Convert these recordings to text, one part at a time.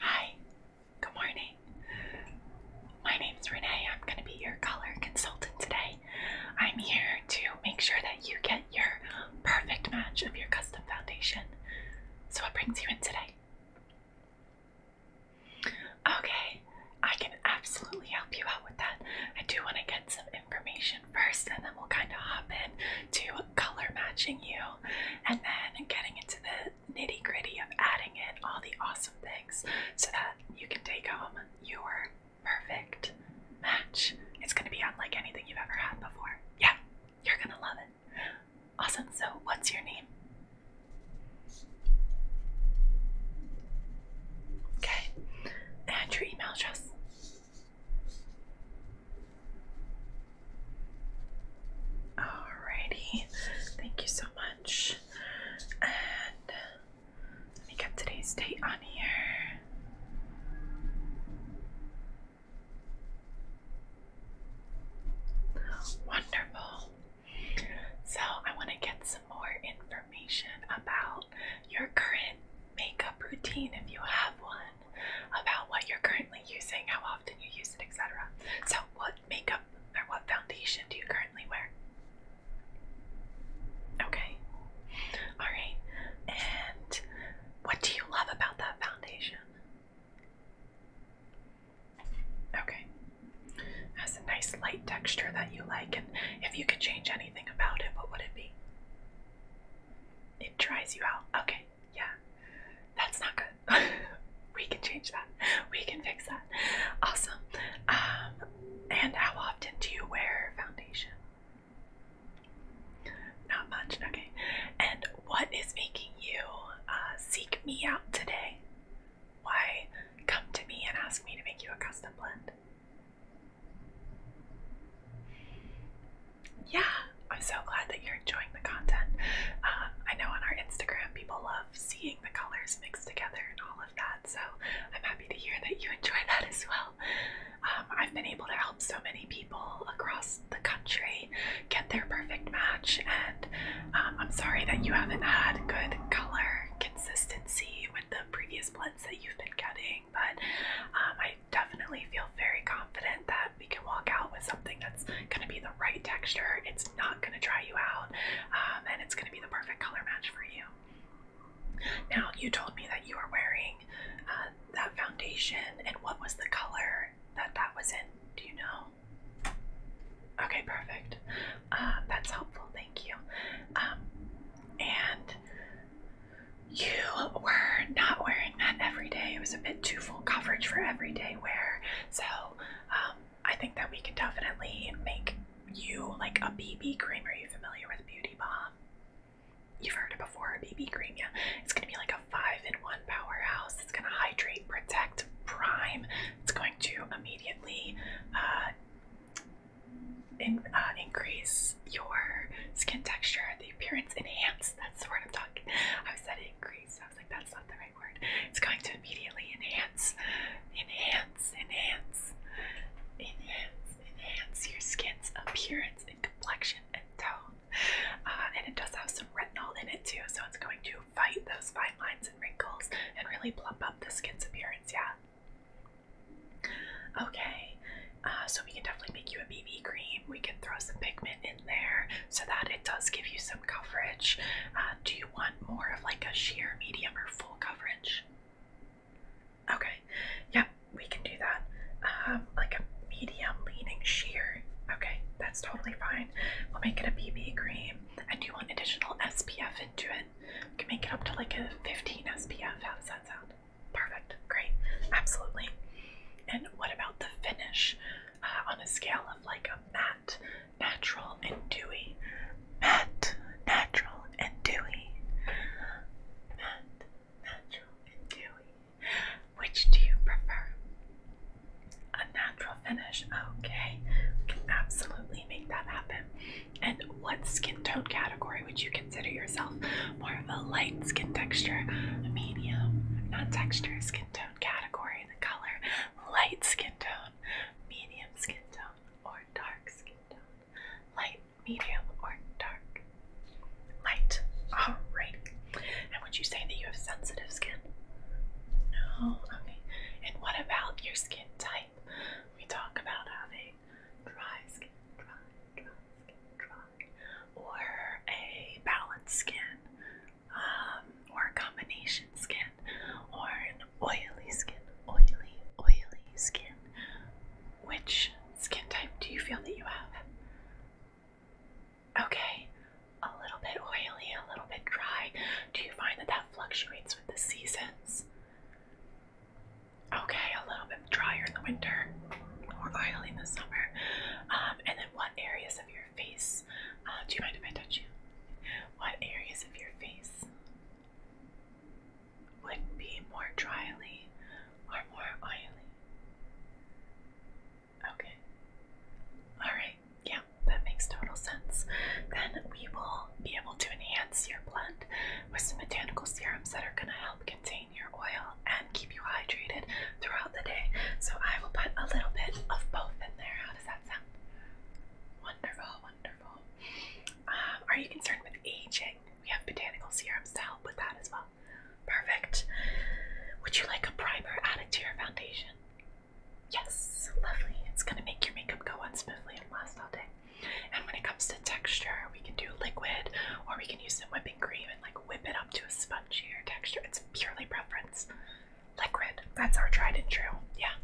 Hi, good morning. My name's Renee. I'm going to be your color consultant today. I'm here to make sure that you get your perfect match of your custom foundation. So, what brings you in today? Okay, I can absolutely help you out with that. I do want to get some information first, and then we'll kind of hop in to color matching you and then getting into the nitty gritty of adding in all the awesome things so that you can take home your perfect match. It's going to be unlike anything you've ever had before. Yeah, you're going to love it. Awesome. So, what's your name? Okay, and your email address. Alrighty, thank you so much. And let me get today's date on here. Wonderful. So I want to get more information about your current makeup routine if you have one, about what you're currently using, how often you use it, etc. So, what makeup or what foundation do you currently wear? Okay. All right. And what do you love about that foundation? Okay. Has a nice light texture that you like, and if you could change anything about it, what would it be? It tries you out. Okay, yeah. That's not good. we can change that. We can fix that. Awesome. Um, and how often do you wear foundation? Not much. Okay. And what is making you uh, seek me out today? Why come to me and ask me to make you a custom blend? Yeah, I'm so glad that you're enjoying the content. Um, I know on our Instagram people love seeing the colors mixed together and all of that, so I'm happy to hear that you enjoy that as well. Um, I've been able to help so many people across the country get their perfect match, and um, I'm sorry that you haven't had good color consistency with the previous these blends that you've been getting, but um, I definitely feel very confident that we can walk out with something that's going to be the right texture. It's not going to dry you out, um, and it's going to be the perfect color match for you. Now, you told me that you were wearing uh, that foundation, and what was the color that that was in? Do you know? Okay, perfect. Um, that's helpful. Thank you. and you were not wearing that every day. It was a bit too full coverage for everyday wear. So um, I think that we can definitely make you like a BB cream. Are you familiar with Beauty Bomb? You've heard it before, BB cream, yeah. It's gonna be like a five-in-one powerhouse. It's gonna hydrate, protect, prime. It's going to immediately uh, in, uh, increase your skin texture, the appearance enhance. That's the word I'm talking. I said increase. I was like, that's not the right word. It's going to immediately enhance, enhance, enhance, enhance, enhance your skin's appearance and complexion and tone. Uh, and it does have some retinol in it too, so it's going to fight those fine lines and wrinkles and really plump up the skin's appearance. Yeah. Okay, uh, so we can definitely make you a BB cream. We can throw some pigment in there so that it does give you some coverage. Uh, do you want more of like a sheer, medium, or full coverage? Okay, yep, we can do that. Um, like a medium leaning sheer. Okay, that's totally fine. We'll make it a BB cream. And do you want additional SPF into it? We can make it up to like a 15 SPF. How does that sound? Perfect. Great. Absolutely. And what about the finish? Uh, on a scale of like a matte, natural, and dewy. Matte, natural, and dewy. Matte, natural, and dewy. Which do you prefer? A natural finish. Okay. We can absolutely make that happen. And what skin tone category would you consider yourself? More of a light skin texture, medium, not texture, skin tone category, the color, light skin tone, medium skin tone, or dark skin tone. Light, medium, or dark. Light. Alright. And would you say that you have sensitive skin? No? Okay. And what about your skin type? We talk about having dry skin, dry, dry dry, or a balanced skin, um, or combination skin, or an oily skin, oily, oily skin. Which skin type do you feel that you have? Okay, a little bit oily, a little bit dry. Do you find that that fluctuates with the seasons? Okay, a little bit drier in the winter, more oily in the summer. Um, and then what areas of your face, uh, do you mind if I touch you? What areas of your face would be more dryly or more oily? Okay. Alright, yeah, that makes total sense. Then we will be able to enhance your blend with some botanical serums that are going to help contain your oil and keep you hydrated throughout the day. So I will put a little bit of both in there. How does that sound? Wonderful, wonderful. Um, are you concerned with aging? We have botanical serums to help with that as well. Perfect. Would you like a primer added to your foundation? Yes, lovely. It's going to make your makeup go on smoothly and last all day. And when it comes to texture, we can do liquid or we can use some whipping cream and like whip it up to a spongier texture. It's purely preference. Liquid, that's our tried and true. Yeah,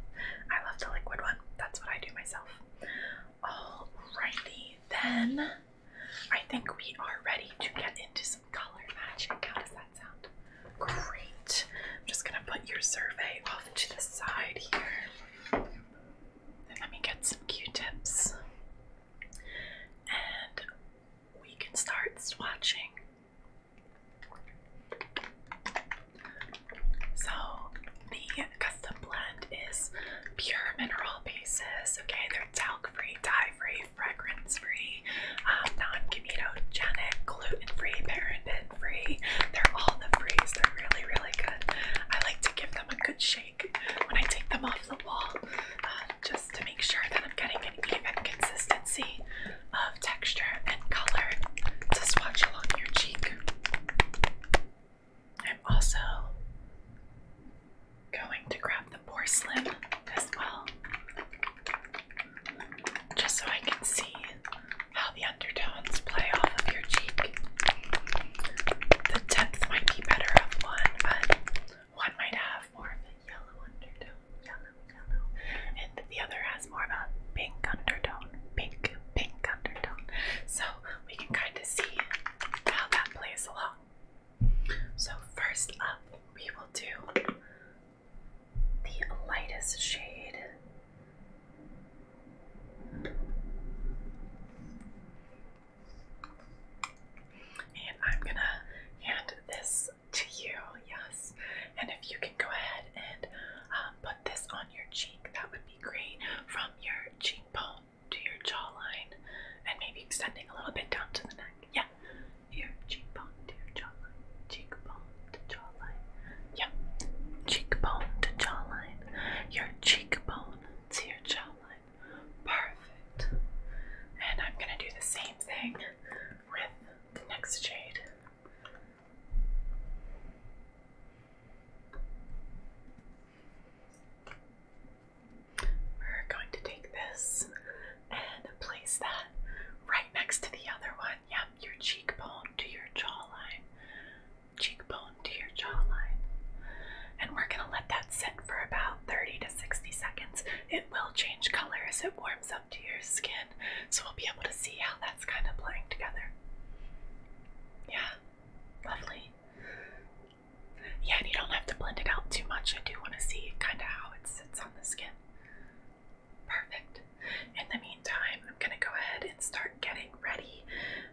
I love the liquid one. That's what I do myself. Alrighty, then I think we are ready to get into some color matching. How does that sound? Great. I'm just gonna put your survey off to the side here. let me get some Q-tips and we can start swatching. So, the custom blend is pure mineral pieces. Okay, they're talc free, dye free, fragrance free, um, non chemitogenic, gluten free, paraben free. They're all the frees. They're really, really good. I like to give them a good when I take them off the wall uh, just to make sure that I'm getting an even consistency of texture and color to swatch along your cheek. I'm also going to grab the porcelain as well, just so I can see how the undertones play off of your cheek. The depth might be better of one, but one might have more of a yellow undertone, yellow, yellow, and the other has more of a pink undertone, pink, pink undertone. So we can kind of see how that plays along. So, first up, we will do the lightest shade. And I'm gonna hand this to you, yes. And if you can go ahead and uh, put this on your cheek, that would be great. From your cheekbone to your jawline, and maybe extending a little bit down to the neck. Yeah, your cheekbone to your jawline, cheekbone to jawline. Yeah, cheekbone to jawline. Your cheekbone to your jawline. Perfect. And I'm going to do the same thing with the next jade. We're going to take this and place that right next to the other one. Yep, your cheekbone to your jawline. Cheekbone to your jawline. And we're going to let that sit for about 30 to 60 seconds. It will change colors. it warms up to your skin, so we'll be able to see how that's kind of blending together. Yeah, lovely. Yeah, and you don't have to blend it out too much. I do want to see kind of how it sits on the skin. Perfect. In the meantime, I'm going to go ahead and start getting ready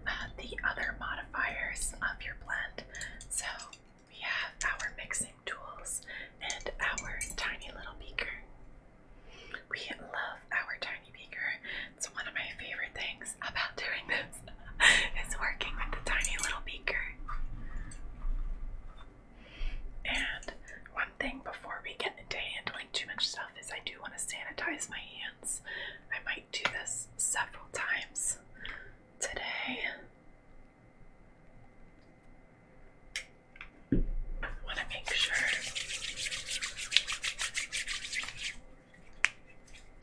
uh, the other modifiers of your blend. So we have our mixing tools and our tiny little beaker. We love our tiny beaker. It's one of my favorite things about doing this is working with the tiny little beaker. And one thing before we get into handling too much stuff is I do want to sanitize my hands. I might do this several times today. want to make sure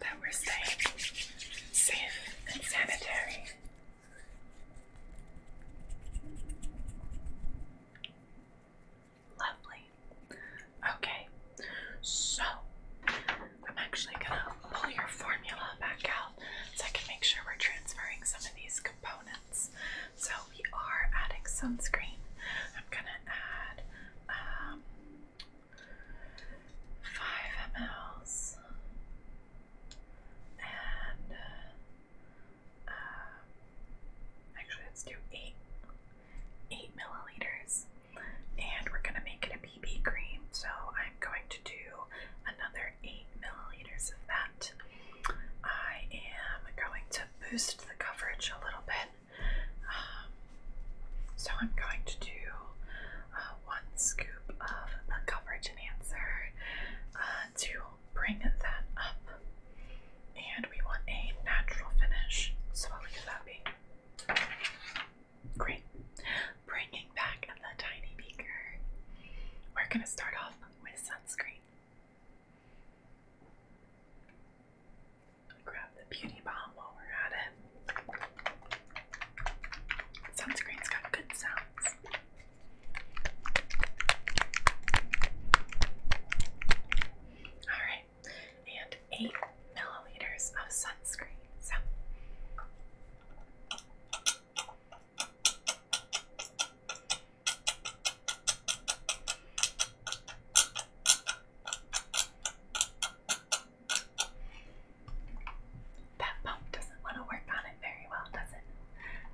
that we're safe, safe and sanitary. Lovely. Okay, so I'm actually gonna pull your formula back out so I can make sure we're transferring some of these components. So we are adding sunscreen. I'm gonna add um, 5 mLs and uh, um, actually let's do 8 8 milliliters and we're gonna make it a BB cream. So I'm going to do another eight milliliters of that. I am going to boost the coverage a little bit. Um, so I'm going to do uh, one scoop of the coverage enhancer uh, to bring that up, and we want a natural finish. So I'll give that be. Great. Bringing back the tiny beaker. We're going to start off with sunscreen. Grab the beauty bomb while we're at it. Sunscreen's got good sounds. Alright, and 8 milliliters of sunscreen. So that pump doesn't want to work on it very well, does it?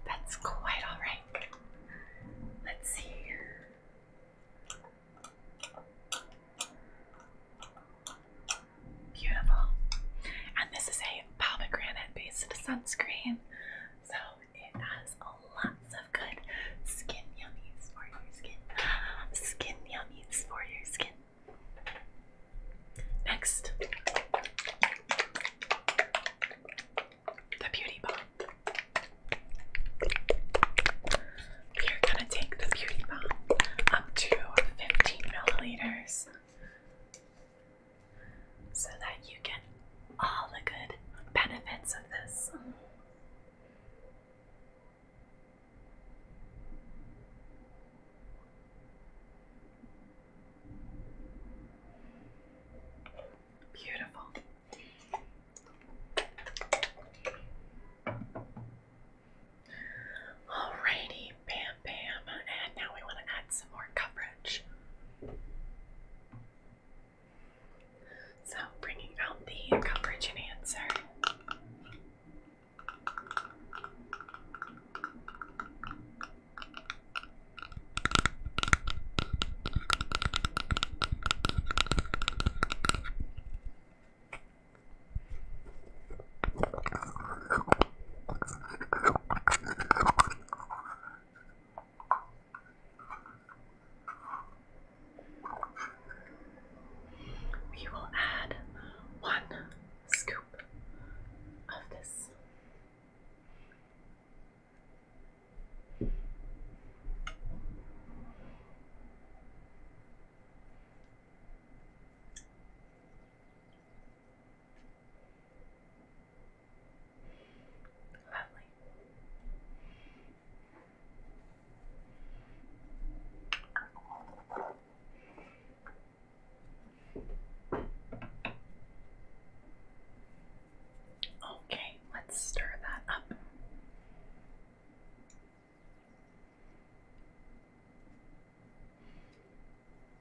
That's quite alright. Let's see. Beautiful. And this is a pomegranate based sunscreen. So it has lots of good skin yummies for your skin. Skin yummies for your skin. Next, the beauty bomb. You're gonna take the beauty bomb up to 15 milliliters so that you get all the good benefits of this. Beautiful. Alrighty, bam bam, and now we want to add some more coverage. So, bringing out the coverage enhancer. We will add one scoop of this. Okay, let's stir that up.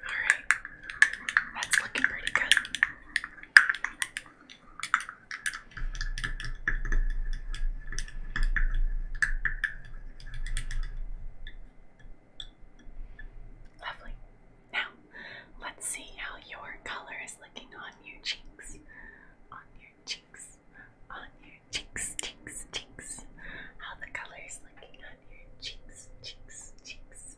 Alright, that's looking pretty good. Lovely. Now, let's see how your color is looking on your cheeks. On your cheeks. On your cheeks, cheeks, cheeks. How the color is looking on your cheeks, cheeks, cheeks,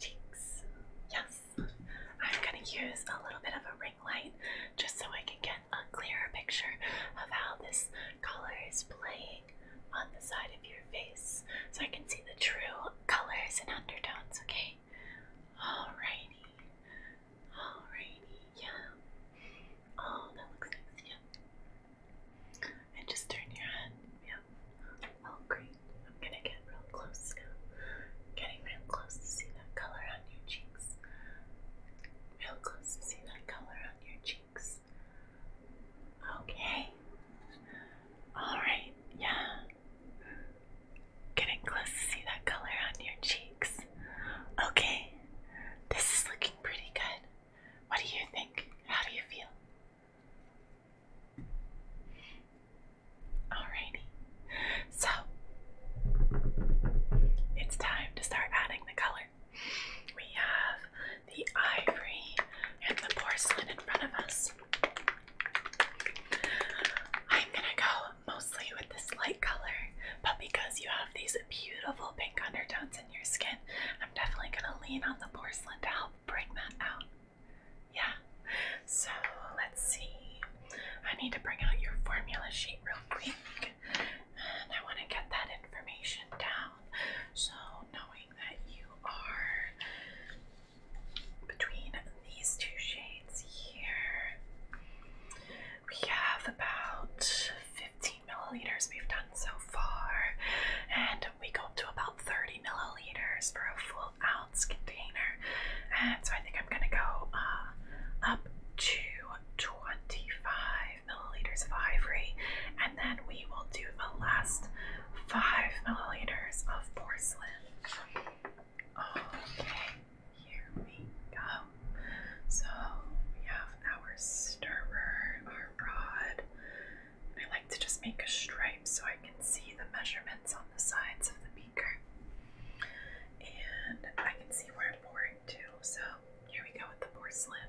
cheeks. Yes. I'm going to use a little bit of a ring light just so I can get a clearer picture of how this color is playing on the side of your face so I can see the true colors and undertones, okay? Okay. Alrighty. Alrighty. Yeah. Oh, that looks nice. Yeah. And just turn your head. Yeah. Oh, great. I'm gonna get real close now. Getting real close to see that color on your cheeks. Real close to see that color on your cheeks. Okay. Alright, yeah. Getting close to see that color on your cheeks. Okay, this is looking pretty good. What do you think? How do you feel? Alrighty, so it's time to start adding the color. We have the ivory and the porcelain in front of us. I'm gonna go mostly with this light color, but because you have these beautiful pink undertones in your skin, I'm definitely gonna lean on the porcelain to help bring that out. Yeah, so let's see. I need to bring out your formula sheet real quick, and I wanna get that information down. So, knowing that you are between these two shades here, we have about 15 milliliters we've done so far, and we go up to about 30 milliliters for a full ounce container. And so I think I'm gonna go uh, up to 25 milliliters of ivory, and then we will do the last five milliliters of porcelain. Okay, here we go. So we have our stirrer, our rod. I like to just make a stripe so I can see the measurements on the sides of the beaker. And I can see where I'm pouring to. So here we go with the porcelain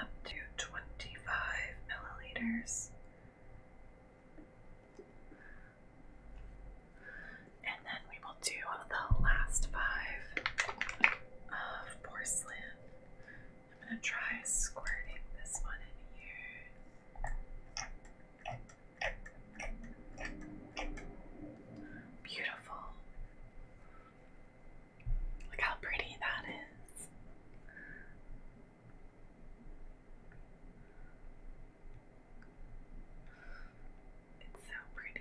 up to 25 milliliters. And then we will do the last five of porcelain. I'm going to try squirting this one in here. Beautiful. Look how pretty that is. It's so pretty.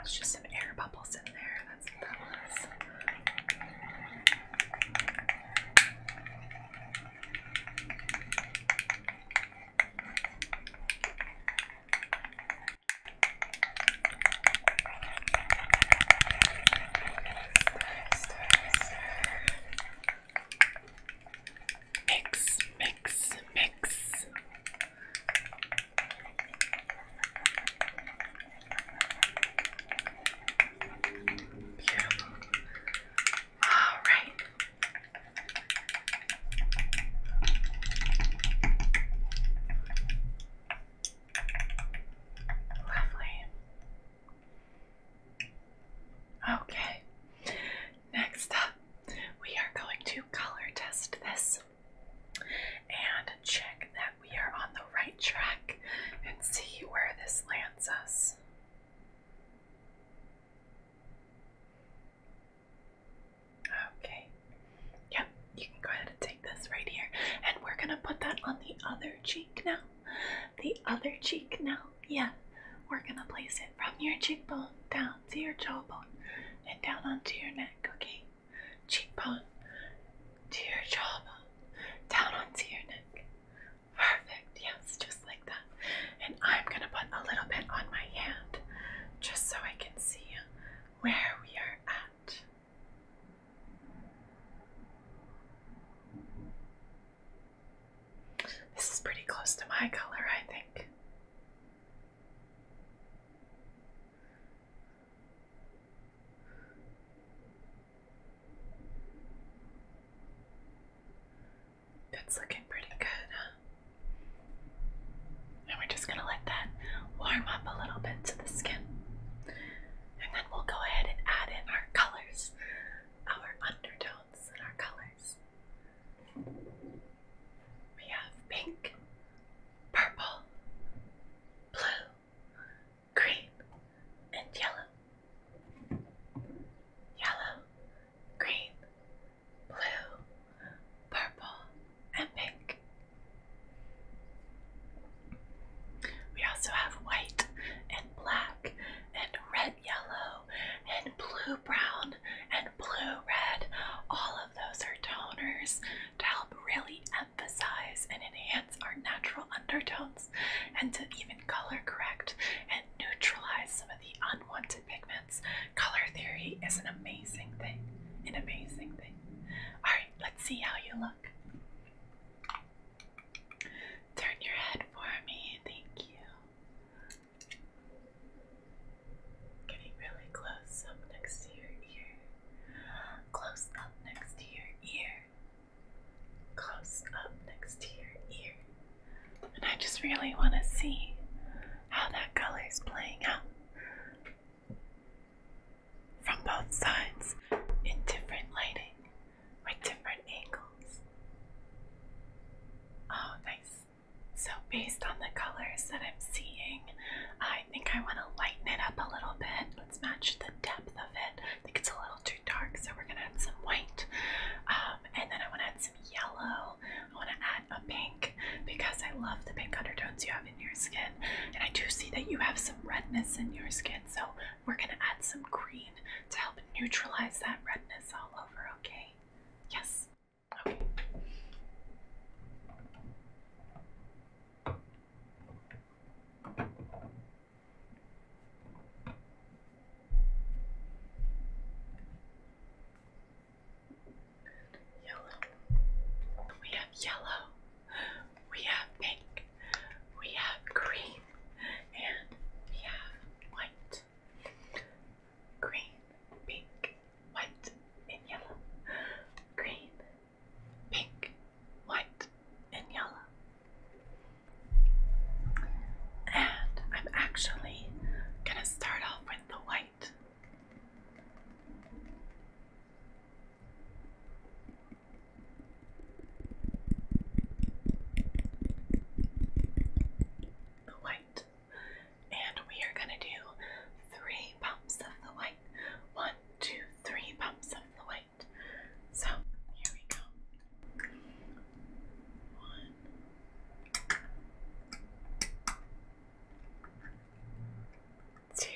It's just some air bubbles in there. That's nice. Mix, mix, mix. Beautiful. All right. Lovely. Okay. Next up, we are going to color test this and check that we are on the right track and see where this lands us. Okay. Yep, you can go ahead and take this right here. And we're going to put that on the other cheek now. The other cheek now. Yeah. We're going to place it from your cheekbone down to your jawbone and down onto your neck, okay? Cheekbone to your jawbone, down onto your neck. Perfect. Yes, just and I'm going to put a little bit on my hand just so I can see where we are at. This is pretty close to my color, I think. That's looking pretty good, And we're just going to let that warm up a little bit to the skin. And then we'll go ahead and add in our colors, our undertones, and our colors. We have pink, purple, blue, green, and yellow. Yellow, green, blue, purple, and pink. We also have white and black and red yellow and blue brown and blue red. All of those are toners to help really emphasize and enhance our natural undertones and to even color correct and neutralize some of the unwanted pigments Color theory is an amazing thing. An amazing thing. Alright, let's see how you look. Turn your head for me. Thank you. Getting really close up next to your ear. Close up next to your ear. Close up next to your ear. And I just really want to see how that color is playing out from both sides in different lighting with different angles. Oh, nice. So, based on the colors that I'm seeing, I think I want to lighten it up a little bit. Let's match the depth of it. I think it's a little too dark, so we're going to add some white. Um, and then I want to add some yellow. I want to add a pink because I love the pink undertones you have in your skin. And I do see that you have some redness in your skin, so we're going to add some green to help neutralize that redness all over, okay? Yes. Okay yellow. We have yellow. We have pink. We have green. And we have white. Green, pink, white, and yellow. Green, pink, white, and yellow. And I'm actually gonna start off with the white. The white. And we are going to do three pumps of the white. One, two, three pumps of the white. So here we go. One, two,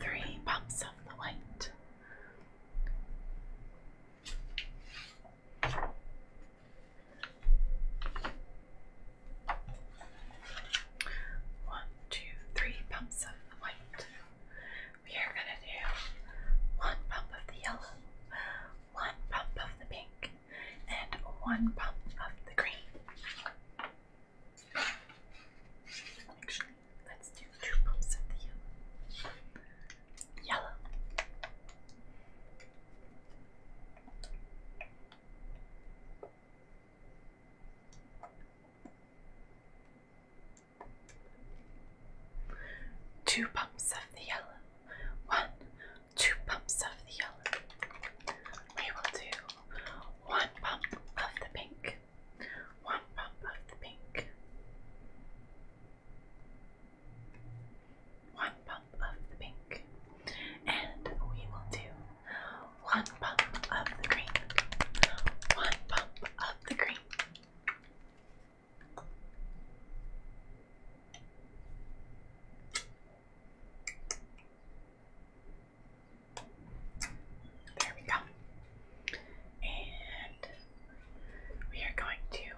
three pumps of the white. One, two, three pumps of the white. We are going to do one pump of the yellow, one pump of the pink and one pump of the green. let's do two pumps of the Yellow. Two pumps of the yellow one, two pumps of the yellow. We will do one pump of the pink, one pump of the pink, one pump of the pink, and we will do one pump of the green, one pump of the green. There we go. And we are going to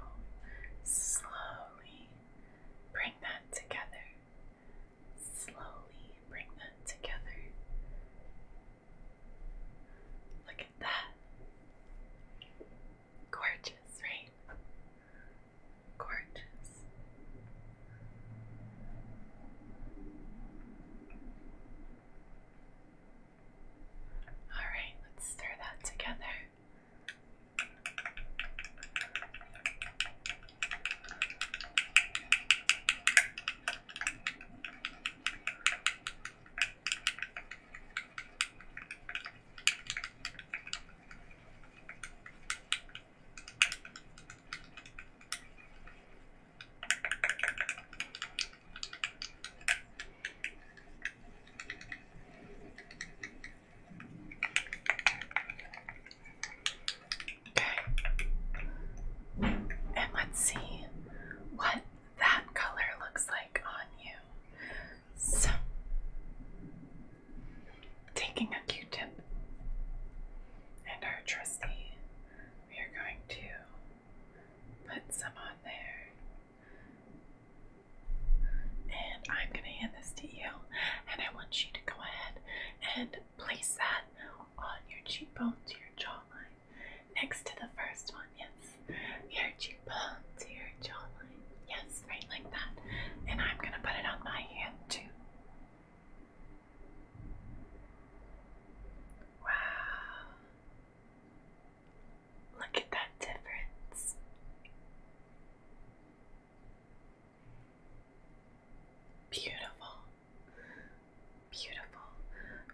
slowly bring that together. Slowly bring that together. Look at that. Gorgeous, right? Gorgeous. All right, let's stir that together. Okay. And let's see what that color looks like on you. So, taking a q tip and our trusty, we are going to put some on there. And I'm going to hand this to you, and I want you to go ahead and place that on your cheekbone to your jawline next to the first one. Yes, your cheekbone to your Yes, right like that. And I'm going to put it on my hand too. Wow. Look at that difference. Beautiful. Beautiful.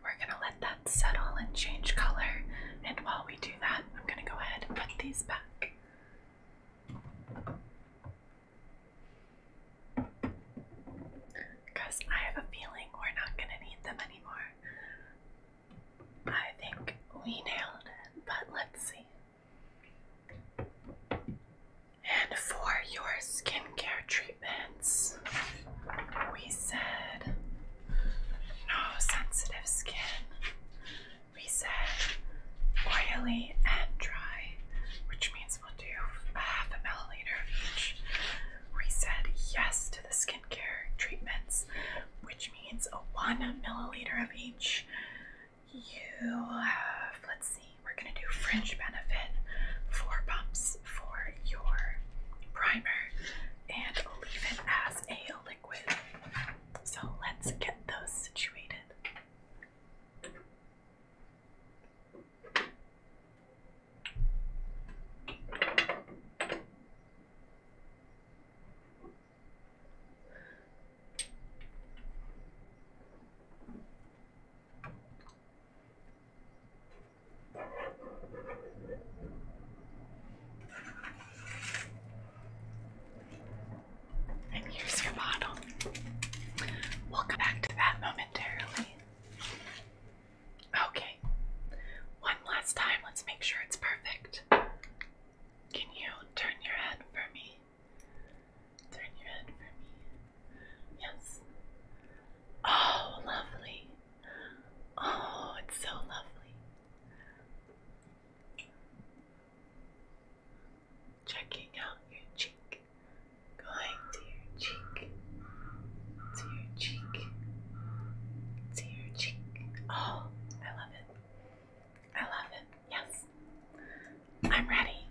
We're going to let that settle and change color. And while we do that, I'm going to go ahead and put these back. Because I have a feeling we're not going to need them anymore. I think we nailed it, but let's see. And for your skincare treatments, we said no sensitive skin, we said oily and dry, which means we'll do a uh, half a milliliter of each. We said yes to the skincare treatments, which means a one milliliter of each. You have, let's see, we're gonna do Fringe Benefit, four pumps for your primer, and leave it as a liquid. So let's get those situated. And here's your bottle. we back to that momentarily. Okay. One last time, let's make sure it's perfect. Can you turn your head for me? Turn your head for me. Yes. Oh, lovely. Oh, it's so lovely checking out your cheek, going to your cheek, to your cheek, to your cheek. Oh, I love it. I love it. Yes. I'm ready.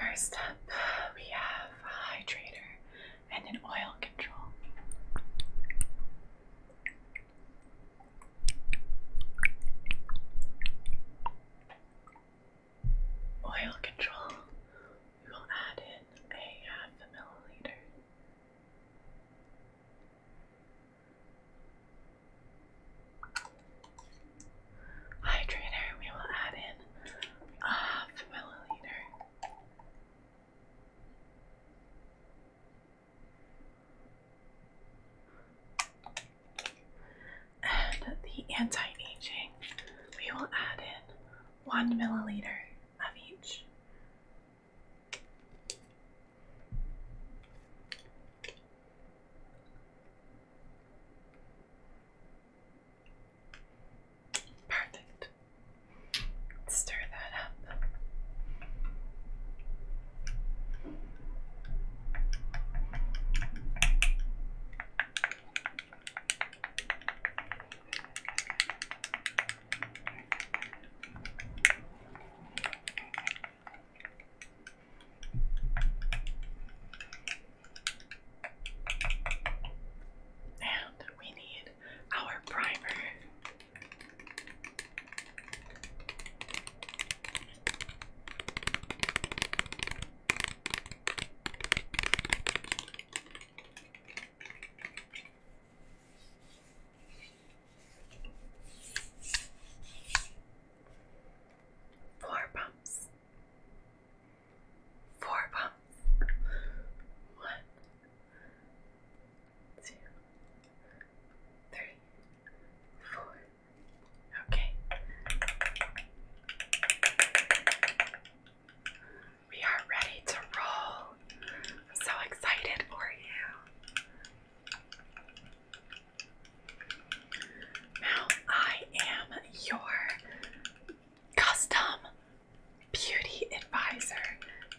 First up, we have a hydrator and an oil control. Oil control. We will add in a half uh, a milliliter. Hydrator, we will add in a half a milliliter. And the anti-aging, we will add in one milliliter of each. Perfect. Stir that up. And we need our primer. Four pumps. Four pumps. One, two, three, four, Okay. We are ready to roll. I'm so excited for you. Now I am your custom beauty advisor.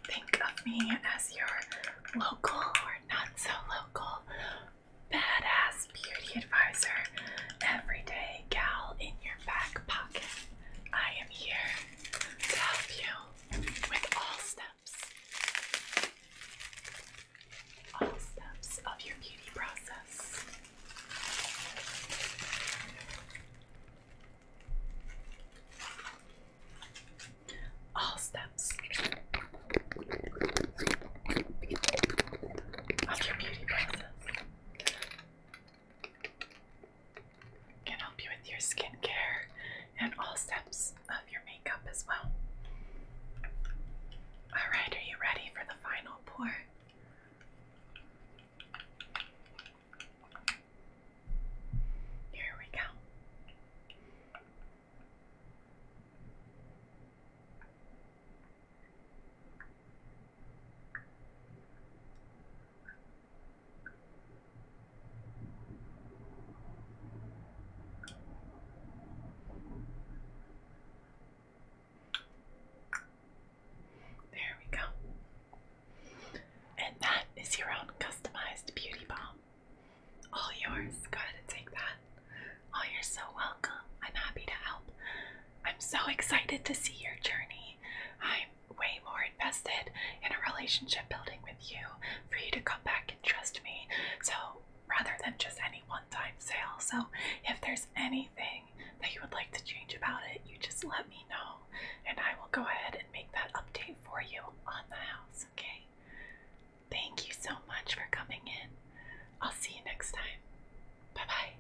Think of me as your local or not so local badass beauty advisor, everyday gal in your back pocket. I am here to help you with all steps, all steps of your beauty process. All steps of your beauty process. Can help you with your skincare and all steps of your makeup as well. Alright, are you ready for the final pour? Here we go. There we go. And that is your own customized beauty balm. All yours. Go ahead and take that. Oh, you're so welcome. I'm happy to help. I'm so excited to see your journey. I'm way more invested in a relationship building with you for you to come back and trust me. So, rather than just any one time sale. So, if there's anything that you would like to change about it, you just let me know and I will go ahead and make that update for you on the house, okay? Thank you so much for coming in. I'll see you next time. Bye bye.